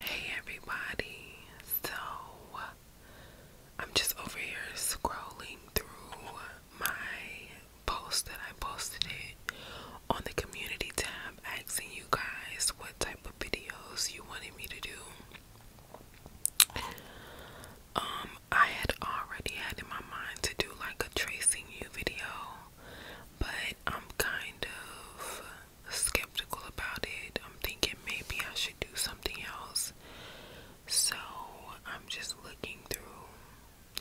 Hey everybody, so I'm just over here scrolling through my post that I posted it on the community tab asking you guys what type of videos you wanted me to do. Um, I had already had in my mind to do like a tracing you video, but I'm kind of skeptical about it. I'm thinking maybe I should do something else. So I'm just looking through,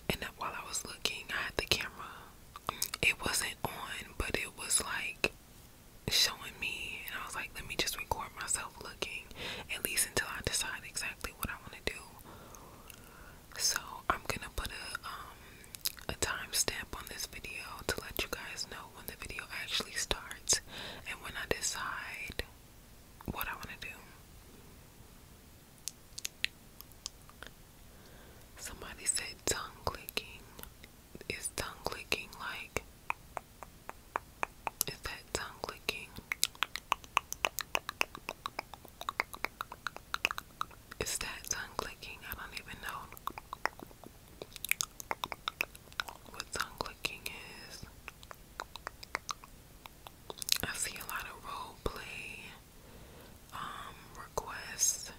and while I was looking, I had the camera. It wasn't on, but it was like showing me, and I was like, let me just record myself looking, at least until I decide exactly what I want to do. So I'm gonna put a um a timestamp on this video to let you guys know when the video actually starts and when I decide what I want to do. Somebody said tongue clicking. Is tongue clicking like. Is that tongue clicking? Is that tongue clicking? I don't even know what tongue clicking is. I see a lot of role play um, requests.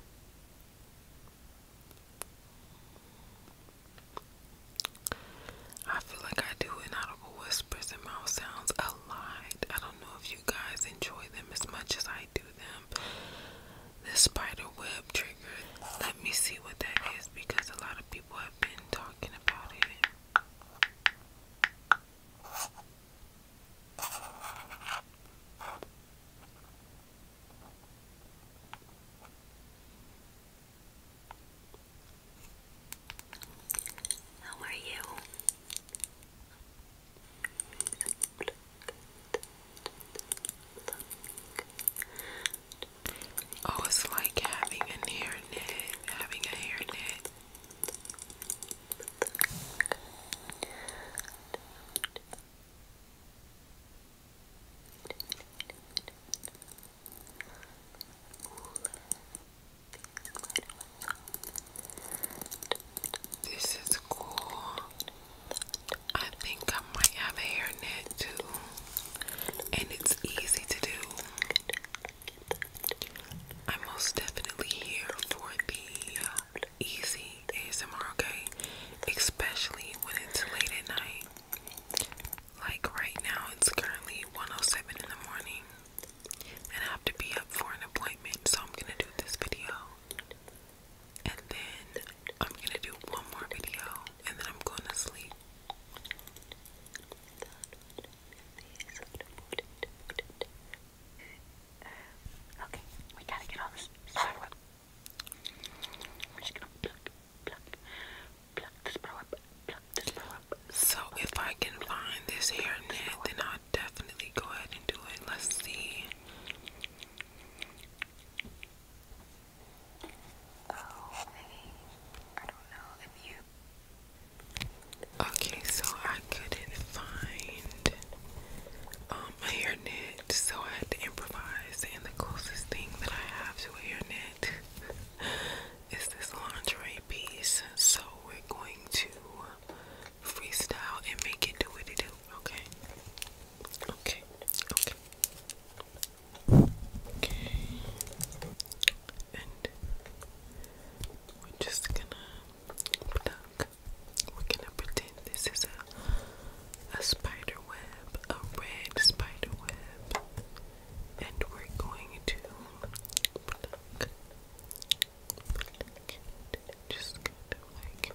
I feel like I do inaudible whispers and mouth sounds a lot. I don't know if you guys enjoy them as much as I I do them. The spider web trigger. Let me see what that is because a lot of people have been talking about it. How are you? Oh, it's like having a hairnet, having a hairnet. Ooh, this is cool. I think I might have a hairnet too. And it's easy to do. I'm most definitely here for the easy ASMR, okay? Especially when it's late at night. Like right now, it's currently 107 in the morning. And I have to be up for an appointment, so I'm gonna do this video and then I'm gonna do one more video and then I'm going to sleep. okay, we gotta get all this sorrow up. I'm just gonna pluck, pluck, pluck this bro up, pluck this bro up. So if I can find this hairnet, then i definitely go ahead and do it. Let's see. Oh, okay, so I couldn't find um, a so I had to improvise, and the closest thing that I have to a is this lingerie piece. So we're going to freestyle and make it do what it do. Okay. Okay. Okay. Okay. And we're just gonna pluck. We're gonna pretend this is a a spider web, a red spider web, and we're going to pluck. Just kind of like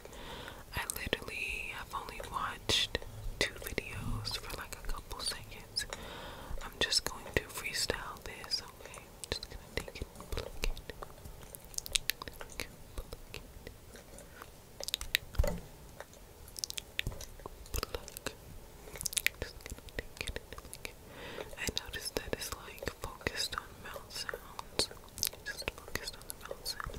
I literally have only watched two videos for like a couple seconds. I'm just going to freestyle this, okay? just gonna take it and pluck it. Pluck it, pluck it. Just gonna take it and it. I noticed that it's like focused on mouth sounds. Just focused on the mouth sound.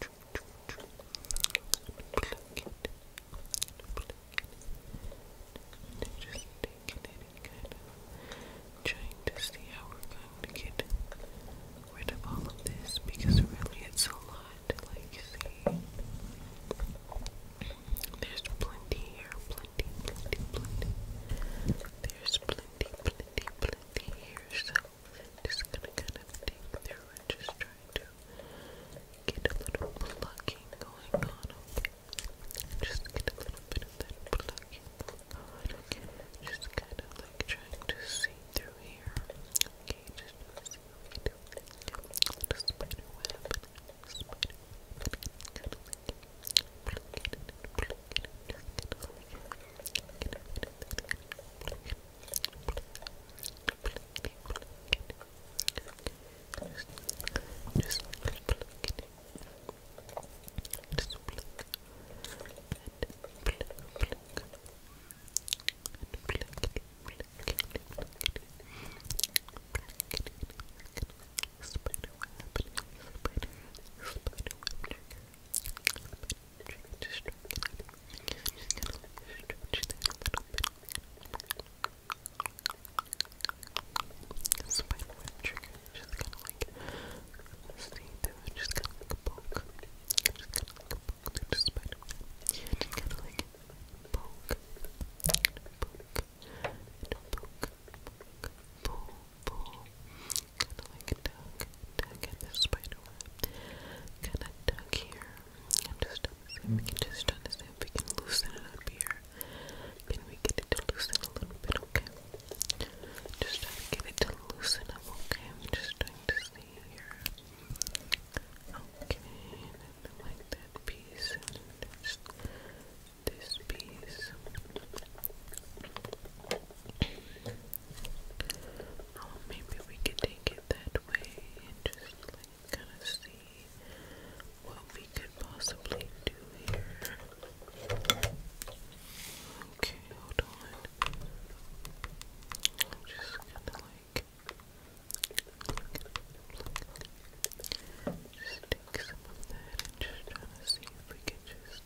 Pluck it. Just taking it trying to see how we're going to get rid of all of this because really it's a lot to like see. There's plenty here, plenty, plenty, plenty. There's plenty, plenty, plenty here, so just gonna kind of dig through and just trying to get a little plucking going on. Just get a little bit of that blocking going again. Just kind of like trying to see through here. Okay, just just pluck it. Just pluck and pluck, pluck and pluck it, pluck it, pluck it, pluck it, spider web, spider, spider web, spider just spider web trigger, just kinda like see through it, just kinda like a poke. Just kinda like a poke through the spider web. And just kinda like poke, and poke, and poke, poke, pull, pull, kinda like a duck, tuck in this spider Kinda tuck here. I'm just trying to see if we can loosen it up here. Can we get it to loosen a little bit, okay? Just trying it to loosen up, okay? I'm just trying to see here. Okay, like that piece this piece. Oh, maybe we could take it that way and just like kind of see what we could possibly do here. Okay, hold on. I'm just gonna like just take some of that and just try to see if we can just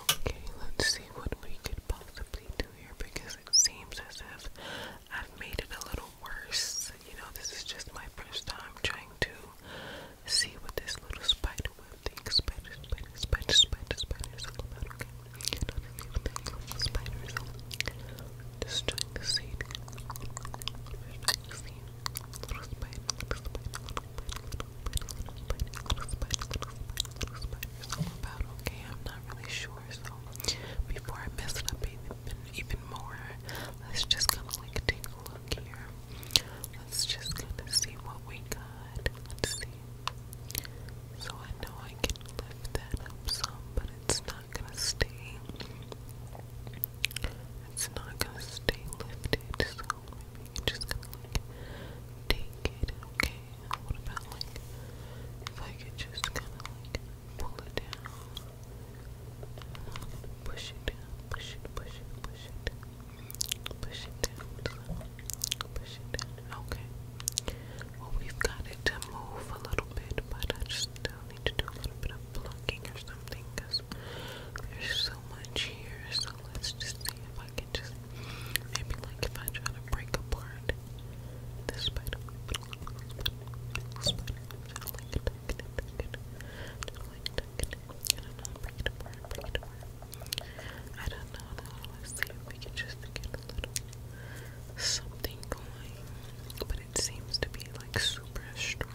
Okay, let's see what we could possibly do here because it seems as if I've made it a little worse. You know, this is just my first time trying to see what this little spider web think spiders, spiders, spiders, spiders, spiders are about, okay? Not anything spiders. Just trying to see. Just trying to see. Little spider, little spider, little spider, little spider, little spider, little spider, little spider, little about, okay? I'm not really sure, so before I mess it up even, even more, let's just kind of like take a look here. Let's just kind of see what we got. Let's see so I know I can lift that up some, but it's not gonna stay. It's not gonna stay lifted, so maybe you're just gonna like take it, okay? What about like if I could just kinda like pull it down? Push it down, push it, push it, push it. Push it down. Push it down. Okay. Well, we've got it to move a little bit, but I just still need to do a little bit of plucking or something there's so much here. So let's just see if I can just maybe like if I try to break apart this spider. it, tuck I don't know, if we can just get something going. But it seems to be like super strong.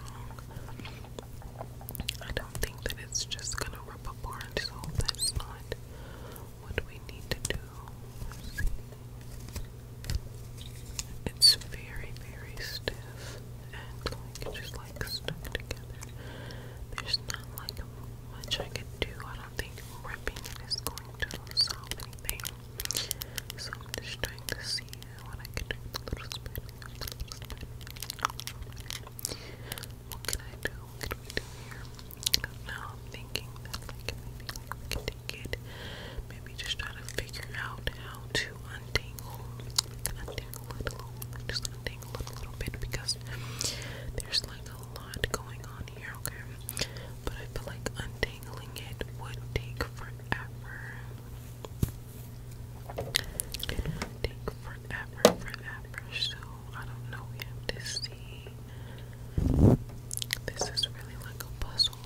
I don't think that it's just gonna rip apart, so that's not what we need to do. It's very, very stiff and like just like stuck together. There's not like much I can do. I don't think ripping it is going to solve anything. So I'm just trying to see what I can do What can I do? What I am thinking that maybe like, can take Maybe just try to figure out how to untangle a little, bit because there's like a lot going on here, okay? But I feel like untangling it would take forever. take forever, forever. So I don't know. We have to see. This is really like a puzzle.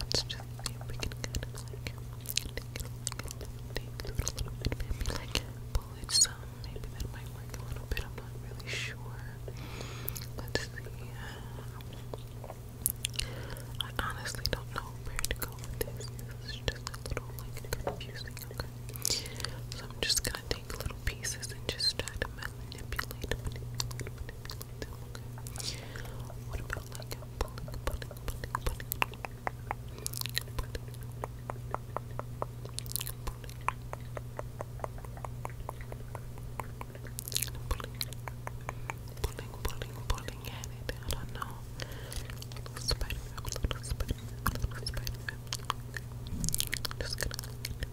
Let's just see if we can it a a little bit, maybe some. Maybe that might work a little bit. I'm not really sure. Let's see. Uh, I honestly don't know where to go with this. This just a little like confusing. Okay, so I'm just gonna. I take little pieces and just try to manipulate, What about like a pulling, pulling, pulling, pulling? Pulling, pulling, pulling at it. I don't know. Just going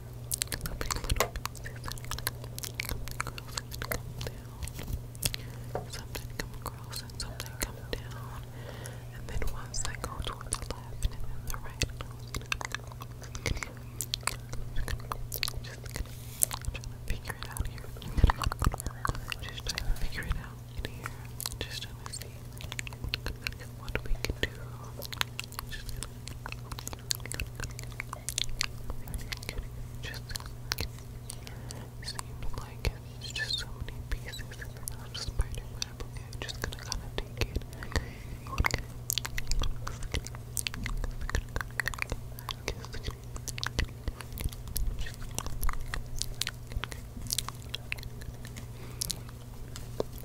lovely little pieces and come down. Some come across and some come down. And then ones that go toward the left and then the right. Just I'm trying to figure it out here. Just trying to figure it out here. Just trying to see what we can do just seems like it's just so many pieces and they're not just spider web. Okay, I'm just gonna kind of take it. Okay, okay. Okay.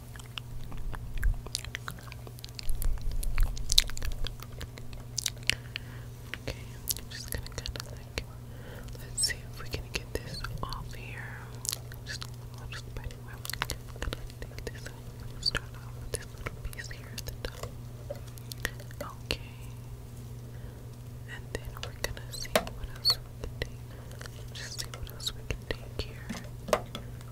Okay, I'm just gonna kind of let's see if we can get this off here. Just, I'll just by the way, I'm gonna take this start off with this little piece here at the top. Okay, and then we're gonna see what else we can take. Just see what else we can take here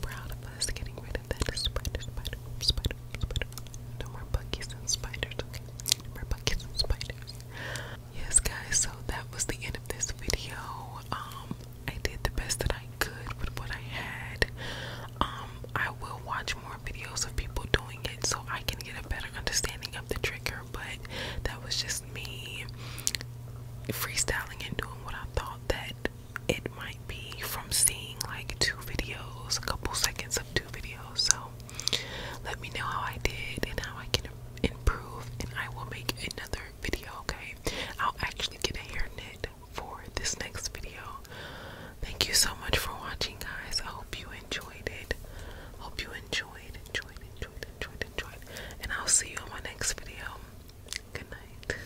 proud of us getting rid of that spider, spider, spider, spider. No more buggies and spiders, No more buggies and spiders. Yes, guys, so that was the end of this video. Um, I did the best that I could with what I had. Um, I will watch more videos of people doing it so I can get a better understanding of the trigger, but that was just me freestyling and doing what I thought that it might be from seeing like two videos, a couple seconds of two videos. So let me know how I did and how I can improve, and I will make another video. Okay, I'll actually get a hairnet for this next video. Thank you so much for watching, guys. I hope you enjoyed it. Hope you enjoyed, enjoyed, enjoyed, enjoyed, enjoyed, and I'll see you in my next video. Good night.